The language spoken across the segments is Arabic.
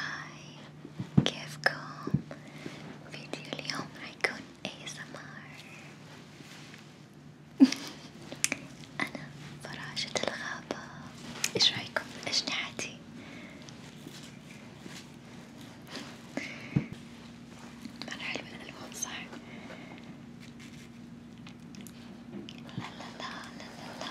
هاي كيفكم؟ فيديو اليوم راح يكون ASMR أنا فراشة الغابة إيش رايكم بأجنحتي؟ مرة حلوة الألوان صح؟ لا لا لا لا لا لا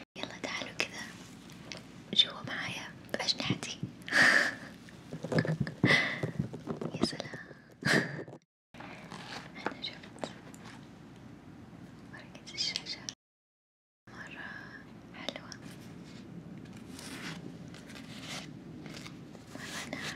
يلا تعالوا كذا جوا معايا بأجنحتي يا سلام أنا جبت ورقة الشاشة مرة حلوة مرة ناعمة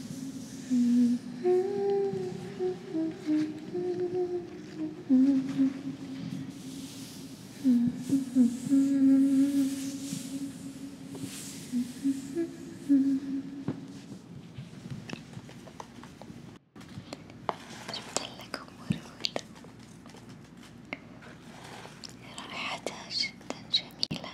جبت لكم وردة رائحتها جدا جميلة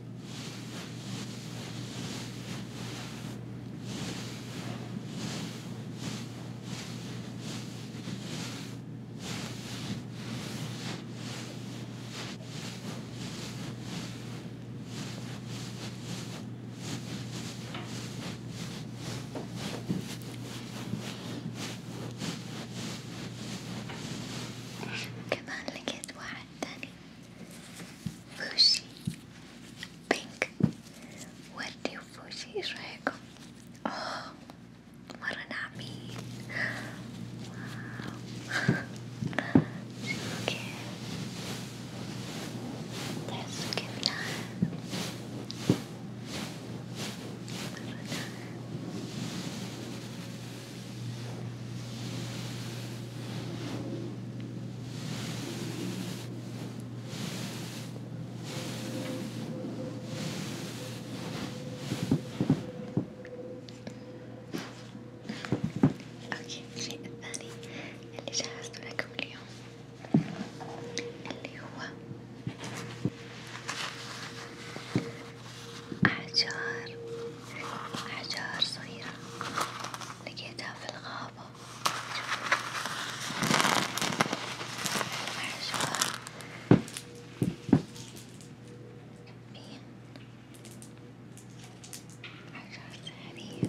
كمان لقيت واحد تاني Fushi Pink What do Fushi Shrek? Oh Maranami Wow Okay Let's اوكي الشيء الثاني اللي جهزته لكم اليوم اللي هو أحجار أحجار صغيرة لقيتها في الغابة أحجار مين أحجار سحرية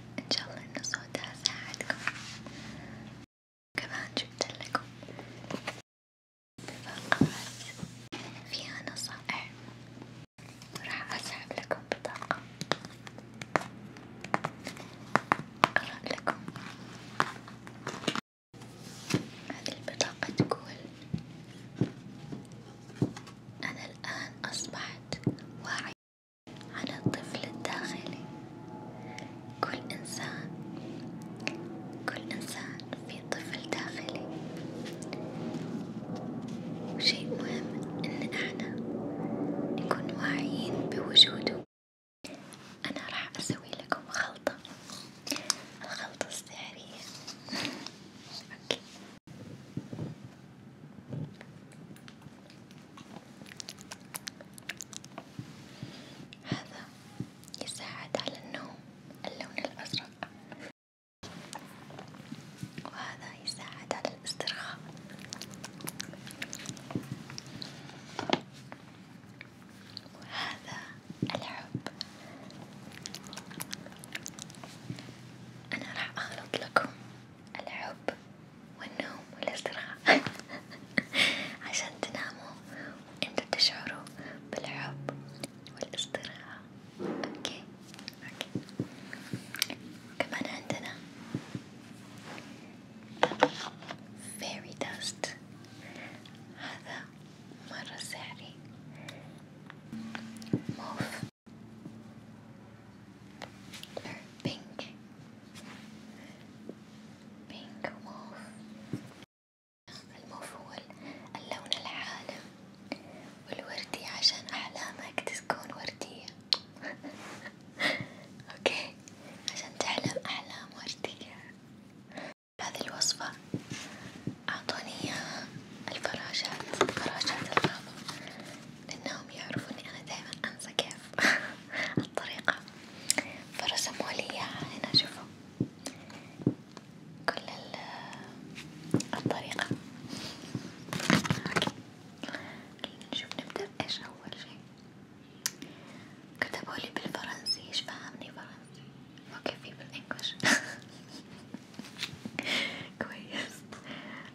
إن شاء الله إن صوتها ساعدكم، كمان جبت لكم بطاقات فيها نصائح، وراح أسحب لكم بطاقة، أقرأ لكم، هذه البطاقة تقول أنا الآن أصبحت واعية على الطفل الداخلي كل إنسان كل إنسان في طفل داخلي وشيء مهم إن إحنا نكون واعيين بوجوده أنا راح أسوي لكم خلطة الخلطة السحرية أوكي هذا يساعد على النوم اللون الأزرق وهذا يساعد على الاسترخاء وهذا الحب أنا راح أخلط لكم الحب والنوم والاستراحة عشان تناموا وانتوا تشعروا بالحب والاستراحة اوكي اوكي كمان عندنا فيري داست هذا مرة سحري موف pink pink موف الموف هو اللون العالم والوردي عشان أحلامك تكون وردية اوكي عشان تحلم أحلام وردية هذه الوصفة أعطوني إياها الفراشات فراشات الغابة لأنهم يعرفوا إني أنا دايما أنسى كيف الطريقة فرسموا لي إياها هنا شوفوا كل الطريقة نشوف نبدأ إيش أول شي كتبوا لي بالفرنسي إيش فاهمني فرنسي أوكي في بالإنجلش كويس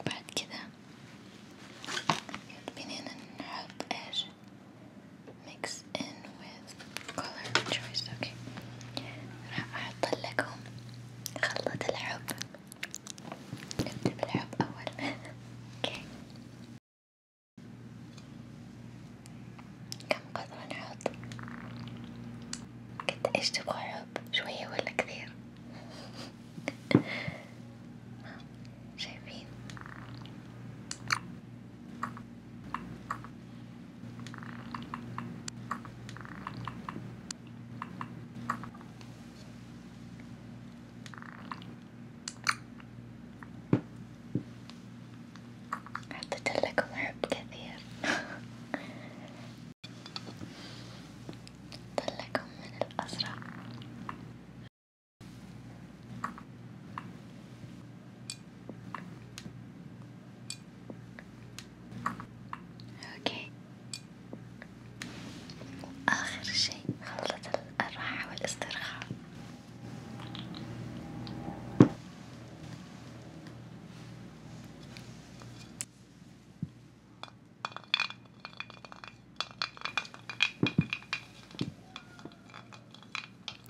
وبعد كده بنينا نحط ايش mix in with color choice اوكي راح احط لكم خلطة الحب نبدأ بالحب اول اوكي كم قطعة نحط؟ قد ايش تبغى حب؟ شوية ولا كثير؟ شايفين؟ حطيت لكم حب كثير طلكم من الأزرق اوكي واخر شيء خلطة الراحة والاسترخاء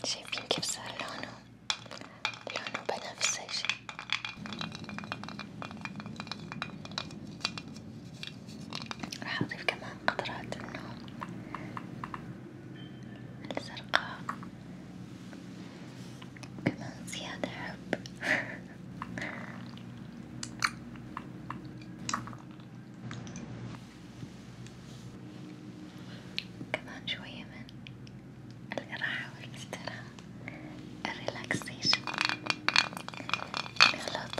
شايفين كيف صار لونه لونه بنفسجي راح أضيف كمان قطرات النوم الزرقاء كمان زيادة حب كمان شوية من الراحة والاستراحة الريلاكسيشن الخلط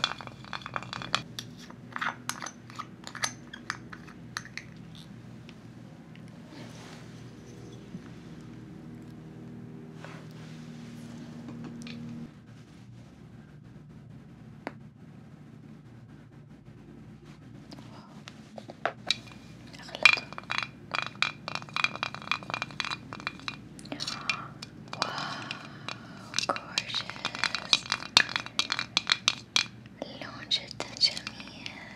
Wow, gorgeous. Longe de Jamil.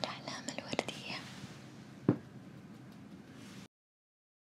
العلامة الوردية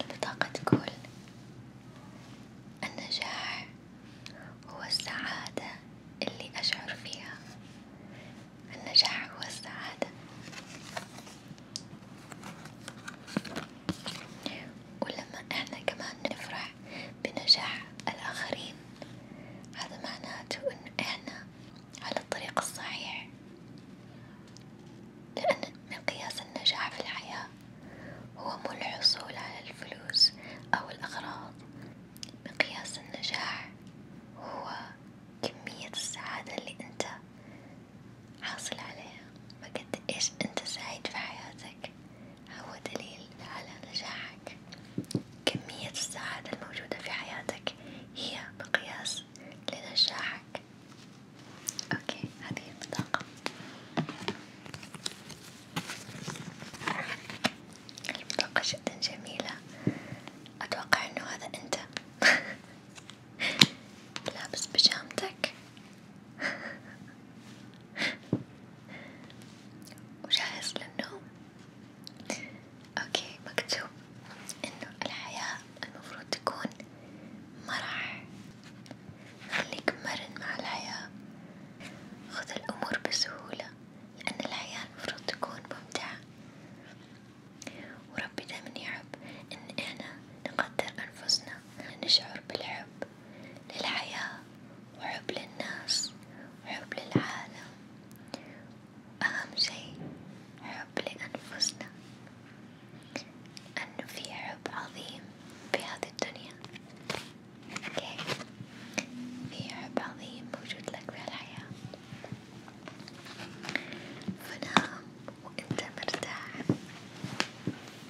البطاقة تقول النجاح هو السعادة اللي أشعر فيها، النجاح هو السعادة، ولما إحنا كمان نفرح بنجاح الآخرين هذا معناته إن إحنا على الطريق الصحيح لأن مقياس النجاح في الحياة هو مو الحصول على الفلوس أو الأغراض مقياس النجاح هو كمية السعادة اللي أنت حاصل عليها، فقد إيش أنت سعيد في حياتك، هو دليل على نجاحك كمية السعادة الموجودة في حياتك هي مقياس لنجاحك اوكي هذه البطاقة البطاقة جدا جميلة اتوقع انه هذا انت لابس بيجامتك وجاهز للنوم اوكي مكتوب انه الحياة المفروض تكون مرح خليك مرن مع الحياة خذ الامور بسهولة لان الحياة المفروض تكون ممتعة وربي دايما يحب ان احنا نقدر انفسنا نشعر بالحب للحياة وحب للناس وحب للعالم أهم شيء حب لأنفسنا أنه في حب عظيم بهذه الدنيا أوكي في حب عظيم موجود لك في الحياة فنام وأنت مرتاح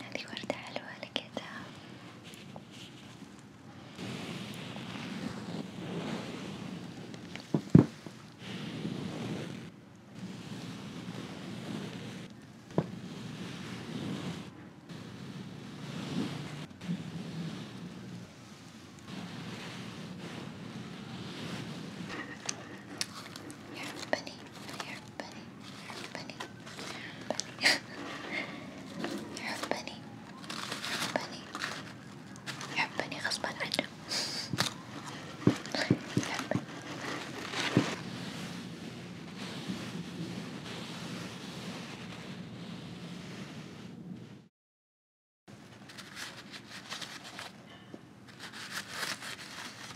هذه وردة حلوة لقيتها Your company, your bunny, bunny, bunny. You're a bunny, bunny. You're a bunny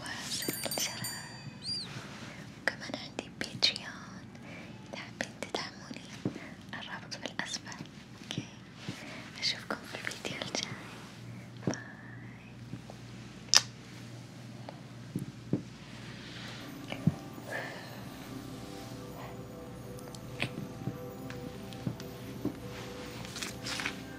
وسر الجرس وكمان عندي باتريون إذا حابين تدعموني الرابط في الأسفل اوكي أشوفكم في الفيديو الجاي باي